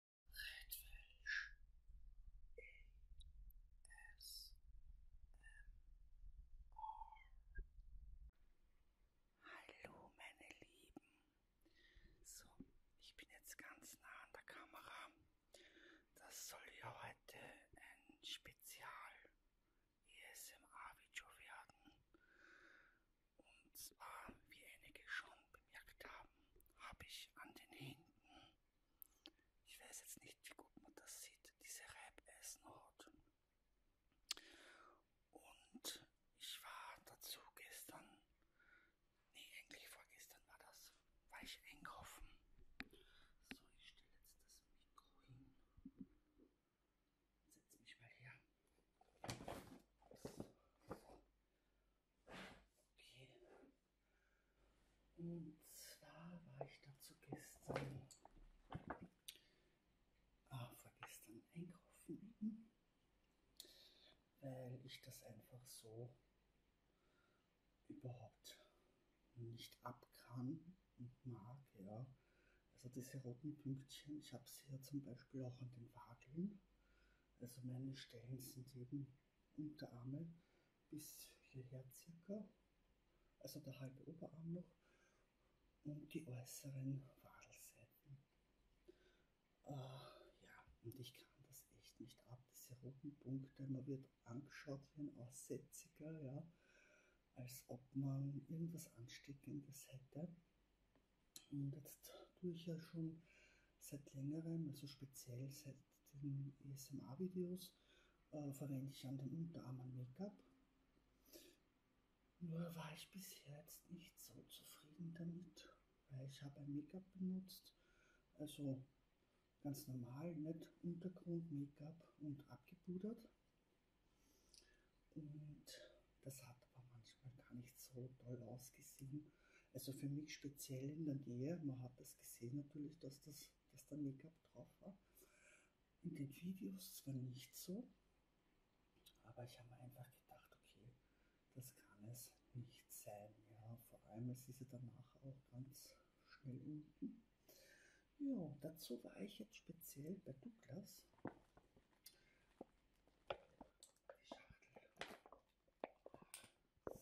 Redfish ASMR. Hallo meine Lieben. So, ich bin jetzt ganz nah an der Kamera. Das soll ja heute ein Spezial ESMR-Video werden. Und zwar, wie einige schon bemerkt haben, habe ich an den Händen, ich weiß jetzt nicht, wie gut man das sieht, diese Reibeisenhaut. Und ich war dazu gestern, nee, eigentlich vorgestern war das, war ich einkaufen. So, ich stelle jetzt das Mikro hin. Setz mich mal her. So. Okay. Und zwar war ich dazu gestern, ah, vorgestern einkaufen, weil ich das einfach so überhaupt nicht ab kann und mag, ja. Also diese roten Pünktchen, ich habe sie ja zum Beispiel auch an den Wadeln. Also meine Stellen sind eben Unterarme bis hierher circa, also der halbe Oberarm noch und die äußeren Wadelseiten. Äh, ja, und ich kann das echt nicht ab, diese roten Punkte. Man wird angeschaut wie ein Aussätziger, ja, als ob man irgendwas Ansteckendes hätte. Und jetzt tue ich ja schon seit längerem, also speziell seit den ESMA-Videos, äh, verwende ich an den Unterarmen Make-up. Nur war ich bis jetzt nicht so zufrieden damit, weil ich habe ein Make-up benutzt, also ganz normal, nicht Untergrund, Make-up und abgepudert. Und das hat aber manchmal gar nicht so toll ausgesehen. Also für mich speziell in der Nähe, man hat das gesehen natürlich, dass, das, dass da Make-up drauf war. In den Videos zwar nicht so, aber ich habe mir einfach gedacht, okay, das kann es nicht sein. Ja, vor allem, es ist ja danach auch ganz schnell unten. Ja, dazu war ich jetzt speziell bei Douglas. Die Schachtel. So.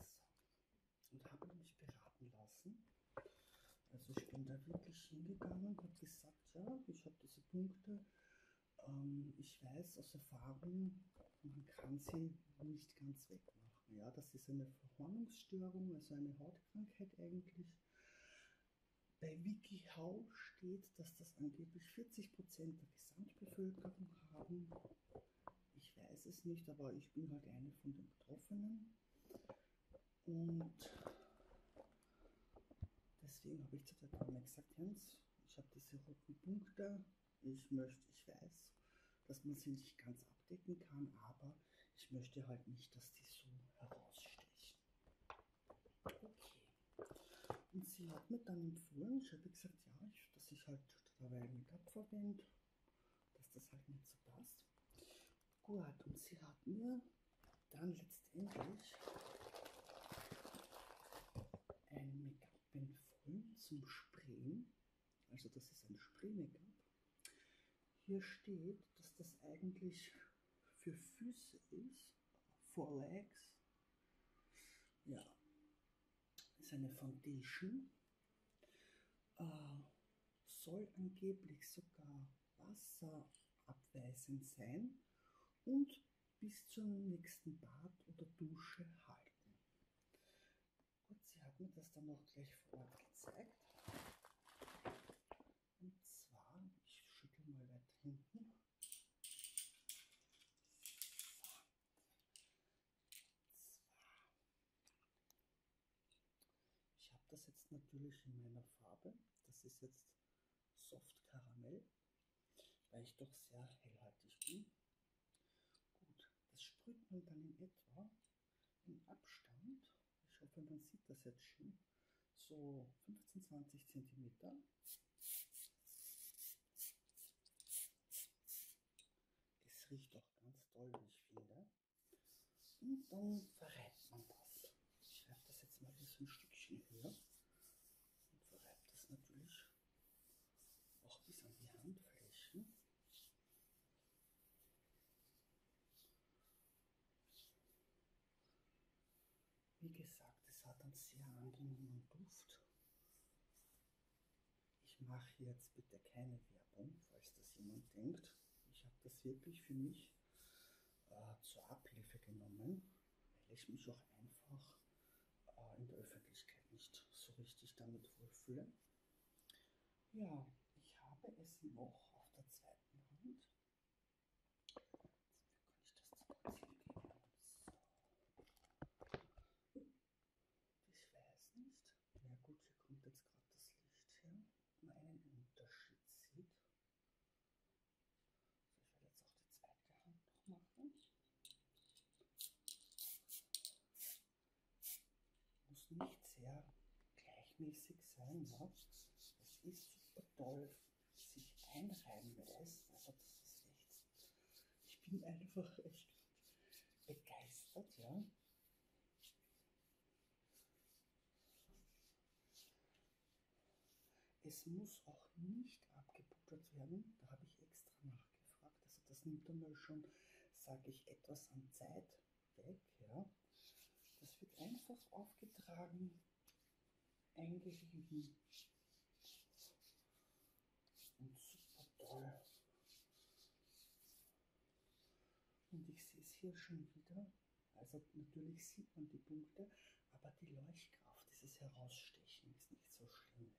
Und habe mich beraten lassen. Also ich bin da wirklich hingegangen und habe gesagt, ja, ich habe diese Punkte. Ähm, ich weiß aus Erfahrung, man kann sie nicht ganz wegmachen. Ja, das ist eine Verhornungsstörung, also eine Hautkrankheit eigentlich. Bei WikiHow steht, dass das angeblich 40% der Gesamtbevölkerung haben. Ich weiß es nicht, aber ich bin halt eine von den Betroffenen. Und deswegen habe ich zu der Dame gesagt, Jens, ich habe diese roten Punkte. Ich möchte, ich weiß, dass man sie nicht ganz abdecken kann, aber ich möchte halt nicht, dass die so herausstechen. Okay. Und sie hat mir dann empfohlen, ich habe gesagt, ja, ich, dass ich halt da weil ich mich abverwende, dass das halt nicht so passt. Gut, und sie hat mir dann letztendlich ein Make-up-Pen voll zum Sprayen. Also das ist ein Spray-Make-up. Hier steht, dass das eigentlich für Füße ist, for legs. Ja, ist eine Foundation, äh, soll angeblich sogar wasserabweisend sein und bis zum nächsten Bad oder Dusche halten. Gut, sie hat mir das dann noch gleich vor Ort gezeigt. Und zwar, ich schüttel mal weit hinten. Zwar, ich habe das jetzt natürlich in meiner Farbe. Das ist jetzt Soft Karamell, weil ich doch sehr hellhaltig bin. Gut, das sprüht man dann in etwa in Abstand. Ich hoffe, man sieht das jetzt schon. So 15, 20 Zentimeter. Es riecht doch ganz toll, wie ich finde. Und dann verreibt man das. Ich reibe das jetzt mal hier so ein Stückchen höher. Und verreibe das natürlich auch bis an die Handflächen. Wie gesagt, es hat einen sehr angenehmen Duft ich mache jetzt bitte keine Werbung, falls das jemand denkt. Ich habe das wirklich für mich äh, zur Abhilfe genommen, weil ich mich auch einfach äh, in der Öffentlichkeit nicht so richtig damit wohlfühle. Ja, ich habe es noch auf der zweiten Hand. Jetzt kann ich das zum Ziel geben. So. Ich weiß nicht. Na ja, gut, hier kommt jetzt gerade das Licht her. Man einen Unterschied sieht. So, ich werde jetzt auch die zweite Hand noch machen. Muss nicht sehr gleichmäßig sein, ne? Es ist super toll, sich einreiben lässt. Also das ist echt. Ich bin einfach echt begeistert, ja. Es muss auch nicht abgeputtert werden, da habe ich extra nachgefragt. Also das nimmt einmal schon, sage ich, etwas an Zeit weg. Ja. Das wird einfach aufgetragen, eingerieben. Und super toll. Und ich sehe es hier schon wieder. Also natürlich sieht man die Punkte, aber die Leuchtkraft, dieses Herausstechen ist nicht so schlimm.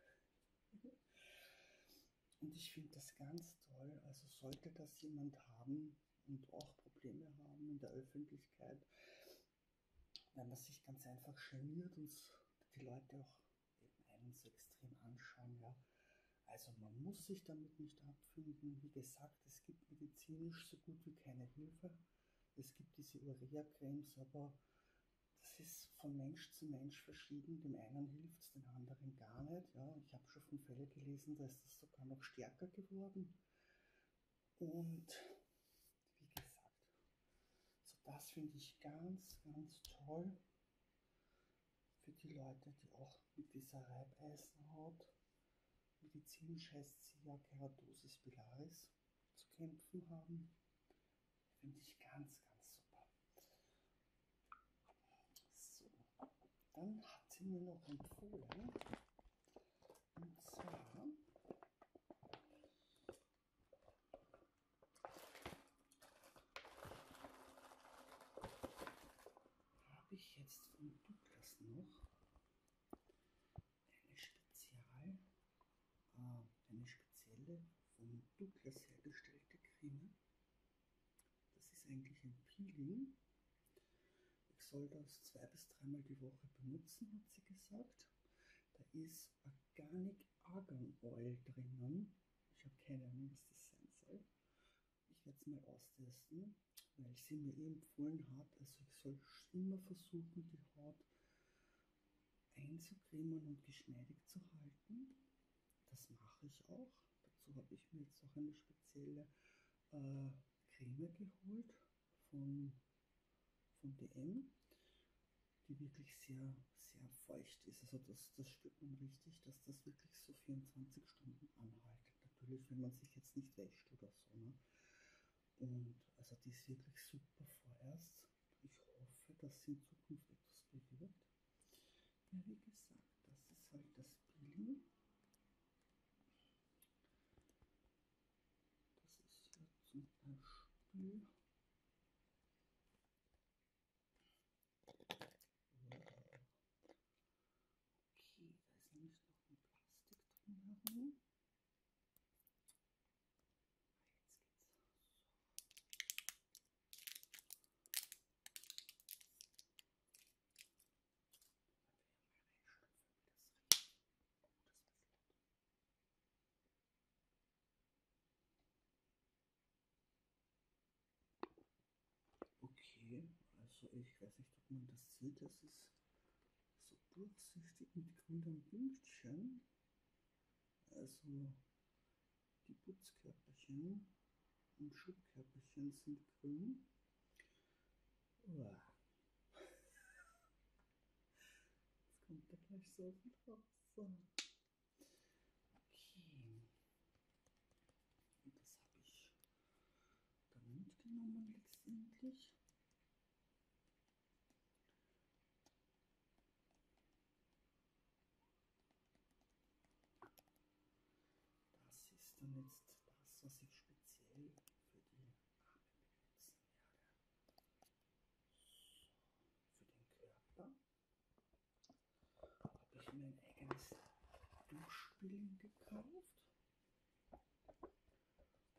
Ja? Und ich finde das ganz toll. Also sollte das jemand haben und auch Probleme haben in der Öffentlichkeit, wenn man sich ganz einfach geniert und die Leute auch eben einen so extrem anschauen, ja. Also man muss sich damit nicht abfinden. Wie gesagt, es gibt medizinisch so gut wie keine Hilfe. Es gibt diese Urea-Cremes, aber das ist von Mensch zu Mensch verschieden. Dem einen hilft es, dem anderen gar nicht. Ja, ich habe schon von Fällen gelesen, da ist das sogar noch stärker geworden. Und wie gesagt. So das finde ich ganz, ganz toll für die Leute, die auch mit dieser Reibeisenhaut, medizinisch heißt sie ja Keratosis pilaris, zu kämpfen haben. Finde ich ganz, ganz super. So, dann hat sie mir noch empfohlen, und zwar habe ich jetzt von Douglas noch eine Spezial, äh, eine spezielle von Douglas hergestellte Creme. Das ist eigentlich ein Peeling. Ich soll das zwei bis dreimal die Woche benutzen, hat sie gesagt. Produkt. Da ist Organic Argan Oil drinnen. Ich habe keine Ahnung, was das sein soll. Ich werde es mal austesten, weil sie mir empfohlen hat, also ich soll immer versuchen, die Haut einzucremen und geschmeidig zu halten. Das mache ich auch. Dazu habe ich mir jetzt auch eine spezielle äh, Creme geholt von, von DM, die wirklich sehr, sehr feucht ist. Also das, das spürt man richtig, dass das wirklich so 24 Stunden anhaltet. Natürlich, wenn man sich jetzt nicht wäscht oder so. Ne? Und also die ist wirklich super vorerst. Ich hoffe, dass sie in Zukunft etwas bewirkt. Ja, wie gesagt, das ist halt das Peeling. Das ist ja zum Beispiel. Okay, da ist nämlich noch ein Plastik drum herum. Jetzt geht's. So. Dann wir mal reinschöpfen, wie das riecht. Oh, das ist laut. Okay, also ich weiß nicht, ob man das sieht, das ist so durchsichtigen grünen Pünktchen, also die Putzkörperchen und Schubkörperchen sind grün. Uah. Jetzt kommt da gleich so viel raus. So. Okay. Und das habe ich dann mitgenommen letztendlich. Das ist dann jetzt das, was ich speziell für die Arme benutzen werde für den Körper habe ich mir ein eigenes Duschspülen gekauft.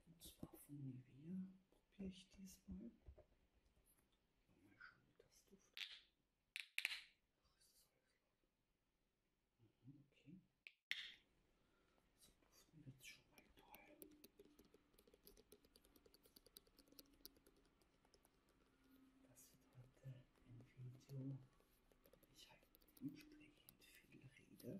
Und zwar von Nivea probiere ich diesmal. Mal schauen, wie das duftet. Ach, ist das alles laut. Mhm, okay. So duften jetzt schon mal toll. Das wird heute ein Video. Ich halte entsprechend viel Rede. Also das ist jetzt dann das erste Video, wo ich so viel erzähle.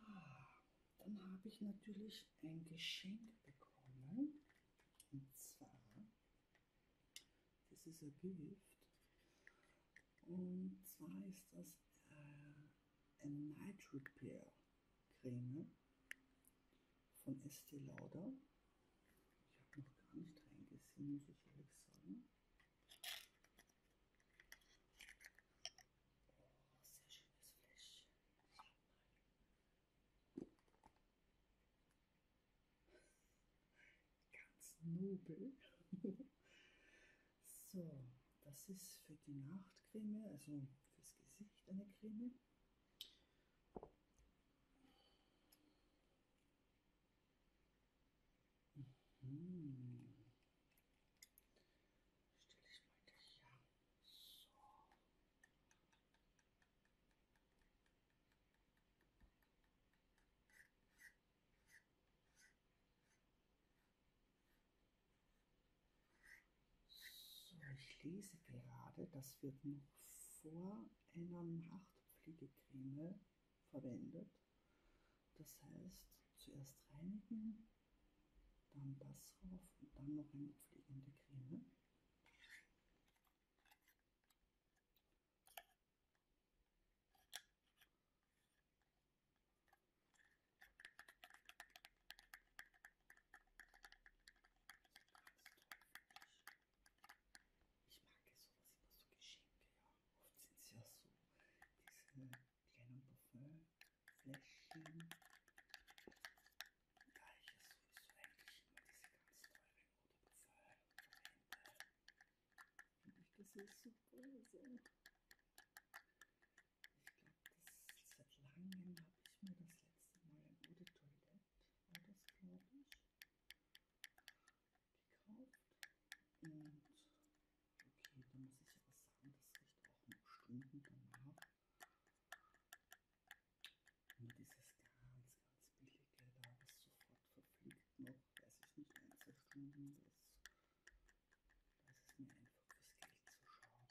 Ja, ah, dann habe ich natürlich ein Geschenk bekommen. Und zwar, das ist ein Gift. Und zwar ist das äh, ein Night Repair Creme von Estee Lauder. Ich habe noch gar nicht reingesehen, muss ich ehrlich sagen. Oh, sehr schönes Fläschchen. Ganz nobel. so, das ist für die Nachtcreme, also fürs Gesicht eine Creme. Mhm. Stelle ich mal dich ja. So. So, ich lese gerade, das wird noch vor einer Hautpflegecreme verwendet. Das heißt, zuerst reinigen, dann das rauf und dann noch eine pflegende Creme. Ne? Ich mag es so, was immer so Geschenke, ja. Oft sind es ja so diese kleinen Parfümfläschchen. Da ich ja sowieso eigentlich immer diese ganz teuren rote Parfüm verwende, finde ich das ist so böse. Ich glaube, seit langem habe ich mir das letzte Mal ein rote Toilette, war das glaube ich, gekauft. Und Okay, dann muss ich aber sagen, das riecht auch noch Stunden danach. Nur dieses ganz, ganz billige, da ist sofort verfliegt noch, weiß ich nicht, ein, zwei Stunden, das, das ist mir einfach fürs Geld zu so schade. Ja.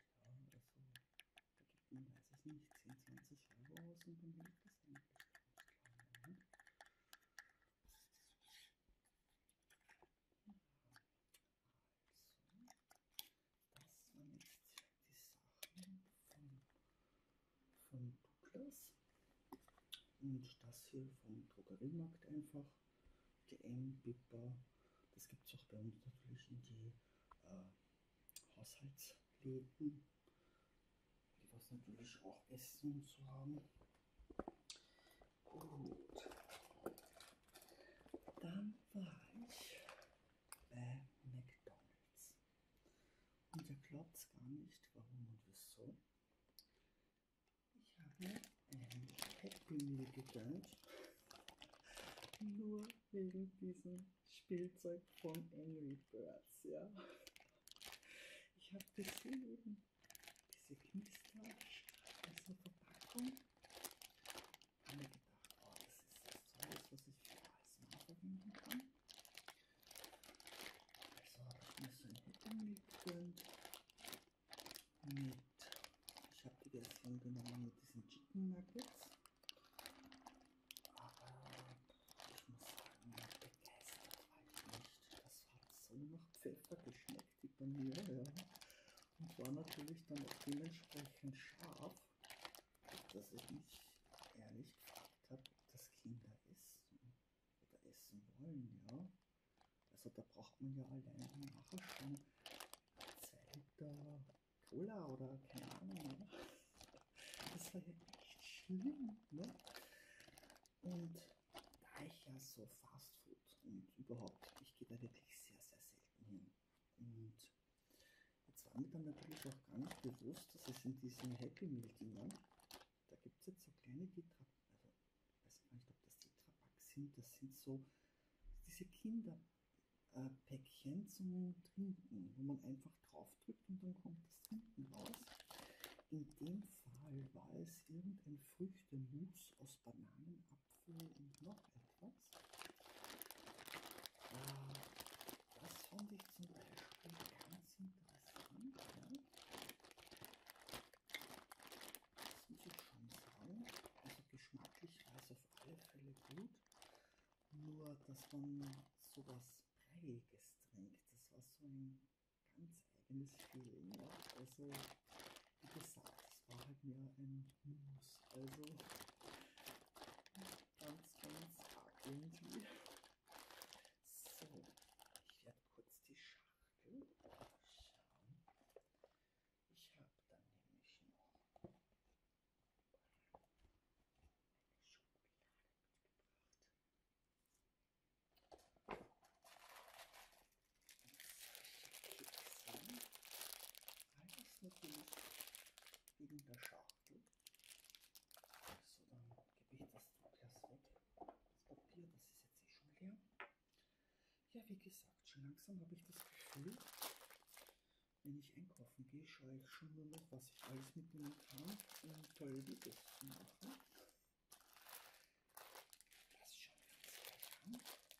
Also, da gibt man, weiß ich nicht, 10, 20 Euro aus und dann will ich das eigentlich ganz klar. Ne? das waren jetzt die Sachen von, von Douglas und das hier vom Drogeriemarkt einfach, GM, Bipper, das gibt es auch bei uns natürlich äh, in die äh, Haushaltsläden, die was natürlich auch Essen und so haben. Gut. Dann war ich bei McDonalds. Und ihr glaubt gar nicht, warum und wieso. Ich habe einen Happy Meal gegönnt. Nur wegen diesem Spielzeug von Angry Birds, ja. Ich habe das gelesen diese Kindeslausch in so Verpackung. Ich habe mir gedacht, oh, das ist das Zeug, was ich für alles mal verwenden kann. Also habe ich mir so eine Hüttung gegönnt. Mit, ich habe die Version genommen mit diesen Chicken Nuggets. Aber ich muss sagen, begeistert war halt ich nicht. Das hat so nach Pfeffer geschmeckt die Paneele. Ja. Und war natürlich dann auch dementsprechend scharf, dass ich mich ehrlich gefragt habe, ob das Kinder essen oder essen wollen. Ja. Also da braucht man ja alleine nachher schon zwei Liter Cola oder keine Ahnung. Ja. Das war ja echt schlimm. Ne? Und da ich ja so Fast Food und überhaupt, ich gehe da wirklich sehr, sehr selten hin. Und jetzt war mir dann natürlich auch gar nicht bewusst, dass es in diesen Happy Meal Dingern, da gibt es jetzt so kleine Tetra, also ich weiß gar nicht, ob das Tetra Packs sind, das sind so diese Kinderpäckchen äh, zum Trinken, wo man einfach draufdrückt und dann kommt das Trinken raus. In dem Fall war es irgendein Früchtemousse aus Bananen, Apfel und noch etwas. Äh, das fand ich zum Beispiel ganz interessant. Ja? Das muss ich schon sagen. Also geschmacklich war es auf alle Fälle gut. Nur, dass man sowas Breiiges trinkt. Das war so ein ganz eigenes Feeling. Ja? Also, wie gesagt, es war halt mehr ein News. Also ganz, ganz arg irgendwie. So, ich werde kurz die Schachtel schauen. Ich habe dann nämlich noch eine Schublade mitgebracht interessant, weil das natürlich wegen der Schachtel. So, dann gebe ich das Glas weg. Das Papier, das ist jetzt eh schon leer. Ja, wie gesagt, schon langsam habe ich das Gefühl, wenn ich einkaufen gehe, schaue ich schon nur noch, was ich alles mitnehmen kann, um tolle Videos zu machen. Das ist schon ganz lecker.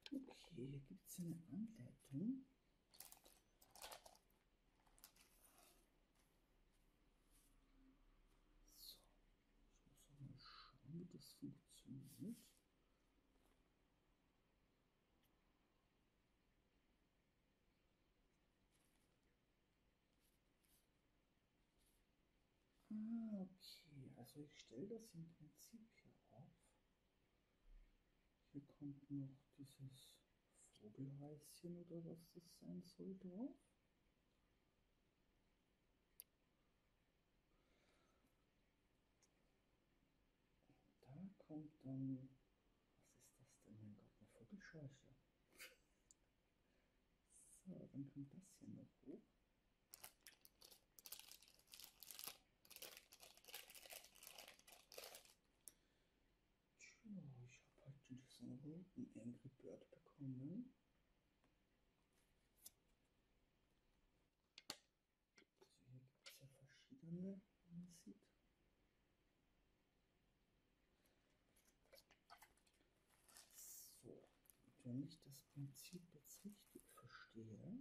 Okay, hier gibt es eine Anleitung. So, ich muss auch mal schauen, wie das funktioniert. Ah, okay, also ich stelle das im Prinzip hier auf. Hier kommt noch dieses Vogelhäuschen oder was das sein soll drauf. Da kommt dann, was ist das denn? Mein Gott, eine Vogelscheuche. So, dann kommt das hier noch hoch. Tja, ich habe heute diesen roten Angry Bird bekommen. Ne? Also hier gibt es ja verschiedene, wie man sieht. So, und wenn ich das Prinzip jetzt richtig verstehe,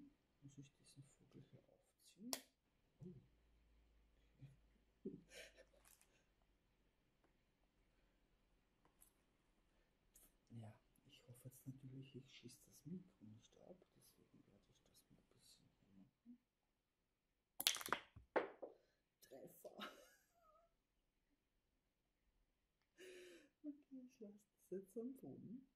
muss ich diesen Vogel hier aufziehen. Okay. Ja, ich hoffe jetzt natürlich, ich schieße das Mikro nicht ab, deswegen werde ich das mal ein bisschen hier Treffer. Okay, ich lasse das jetzt am Boden. Denn das Grundprinzip haben wir jetzt verstanden.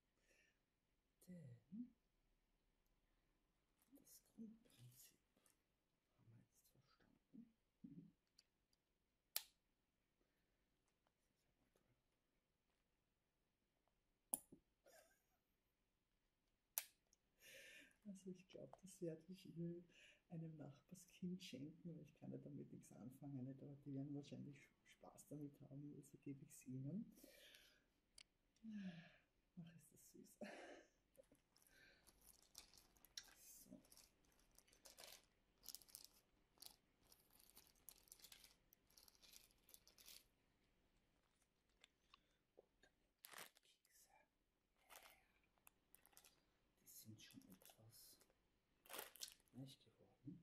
Also ich glaube, das werde ich einem Nachbarskind schenken, weil ich kann ja damit nichts anfangen. Nicht? Aber die werden wahrscheinlich Spaß damit haben, also gebe ich es ihnen. Ach, ist das süß. So. Gut, Kekse. Die sind schon etwas weich geworden. Ja, wie gesagt, die habe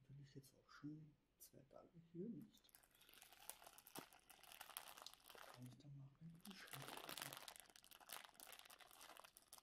ich natürlich jetzt auch schon zwei Tage hier nicht. Kann ich da mal rein?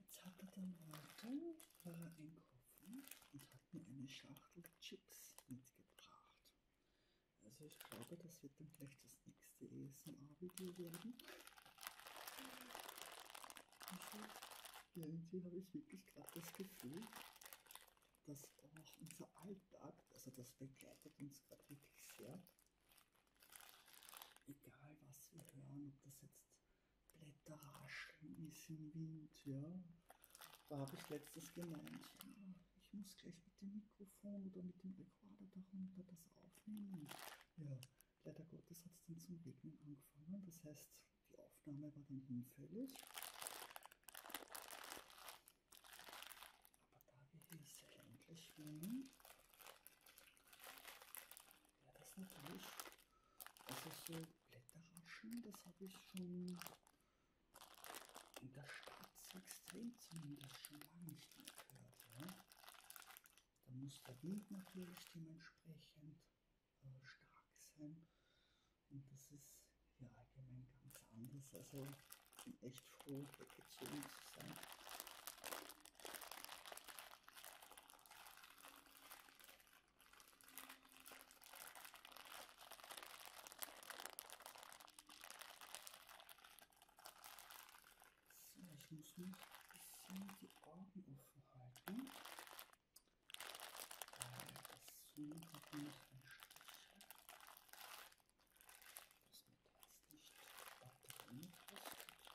Jetzt hat er dann weiter, war er einkaufen und hat mir eine Schachtel Chips mitgebracht. Also ich glaube, das wird dann gleich das nächste ASMR-Video werden. Also, irgendwie habe ich wirklich gerade das Gefühl, dass auch unser Alltag, also das begleitet uns gerade wirklich sehr. Egal was wir hören, ob das jetzt Blätter rascheln ist im Wind, ja. Da habe ich letztens gemeint, ja, ich muss gleich mit dem Mikrofon oder mit dem Rekorder darunter das aufnehmen. Ja, leider Gottes hat es dann zum Regnen angefangen. Das heißt, die Aufnahme war dann hinfällig. Aber da wir hier sehr endlich wohnen, wäre ja, das natürlich also so Blätterraschen, das habe ich schon in der Stadt extrem zumindest schon lange nicht mehr gehört. Ja? Da muss der Wind natürlich dementsprechend äh, stark sein. Und das ist ja allgemein ganz anders. Also bin echt froh, weggezogen zu sein. So, ich muss noch ein bisschen die Augen offen halten. Weil das Zoom hat nämlich einen Stich. Dass man das nicht weiter angepasst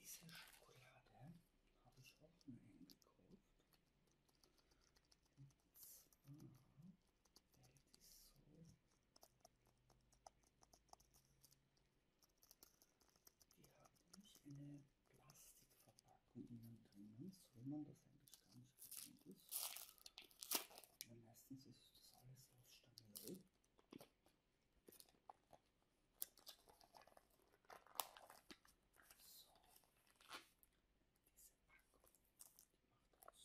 Diese Schokolade habe ich auch nur hingekauft. Und zwar hält die so. Die hat nämlich eine Plastikverpackung innen drinnen, so man das eigentlich gar nicht gewöhnt ist. Aber meistens ist das alles aus Stangelei. So, diese Packung die macht aus Mistelage. Also ich muss jetzt schauen, dass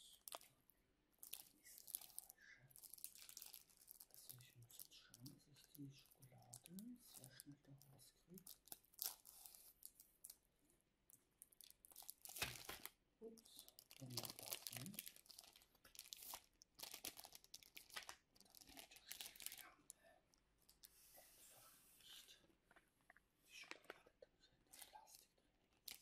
ich die Schokolade sehr schnell da rauskriege. Ups, wunderbar nicht natürlich die Flamme einfach nicht. Die Schokolade da drin, das Plastik drin. So.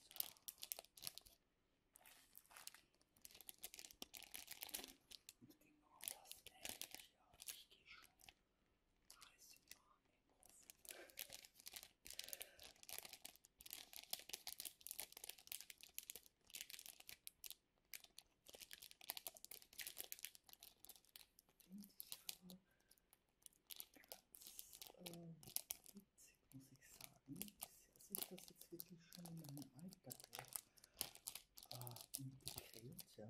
Und genau das ähnliche, ja, ich gehe schon heiß im Arm im Ofen ganz äh, witzig, muss ich sagen, dass ich das jetzt wirklich schon in meinem Alltag auch äh, integriert, ja.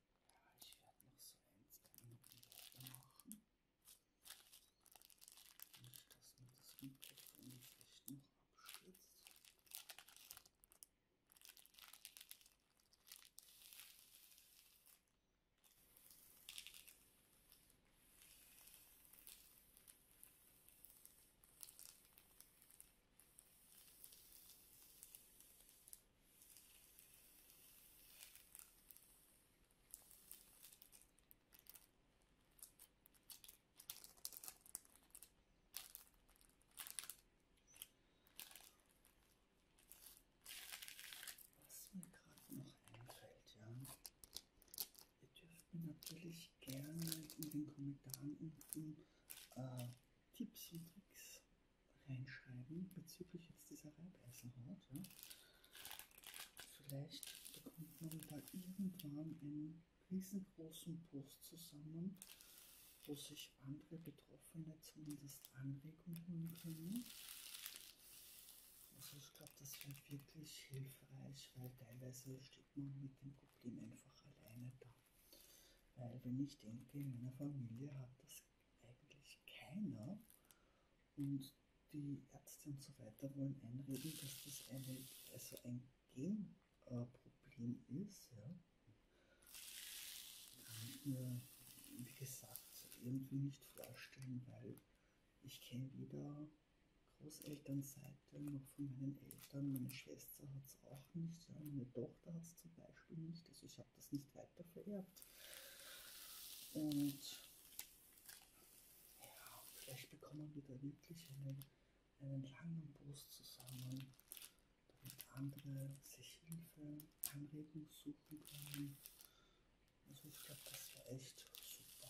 Ja, ich werde noch so eins Gemüse machen. Nicht, dass mir das komplett vielleicht noch abstürzt. Was mir gerade noch einfällt, ja. Ihr dürft mir natürlich gerne in den Kommentaren unten äh, Tipps und Tricks reinschreiben bezüglich jetzt dieser Reibeisenhaut. Ja. Vielleicht bekommt man da irgendwann einen riesengroßen Post zusammen, wo sich andere Betroffene zumindest Anregungen holen können. Also ich glaube, das wäre wirklich hilfreich, weil teilweise steht man mit dem Problem einfach alleine da. Weil wenn ich denke, in meiner Familie hat das eigentlich keiner. Und die Ärzte und so weiter wollen einreden, dass das eine, also ein Genproblem äh, ist. Ja. Kann ich äh, mir, wie gesagt, irgendwie nicht vorstellen, weil ich kenne weder Großelternseite noch von meinen Eltern. Meine Schwester hat es auch nicht, ja. meine Tochter hat es zum Beispiel nicht. Also ich habe das nicht weiter vererbt. Und ja, vielleicht bekommen wir da wirklich einen, einen langen Post zusammen, damit andere sich Hilfe, Anregungen suchen können. Also ich glaube, das war echt super.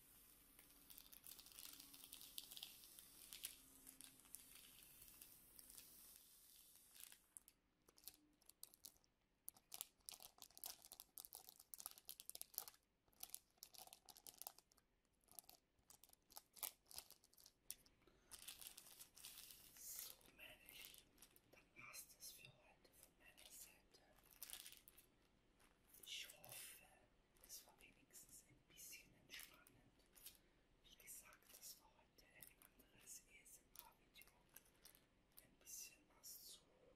So männlich, dann passt es für heute von meiner Seite. Ich hoffe, das war wenigstens ein bisschen entspannend. Wie gesagt, das war heute ein anderes ESMR-Video. Ein bisschen was zu äh,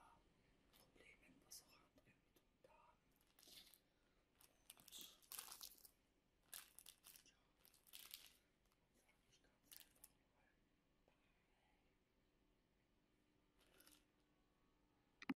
Problemen, was auch andere da haben. Und ja, sage ich ganz einfach mal Bye.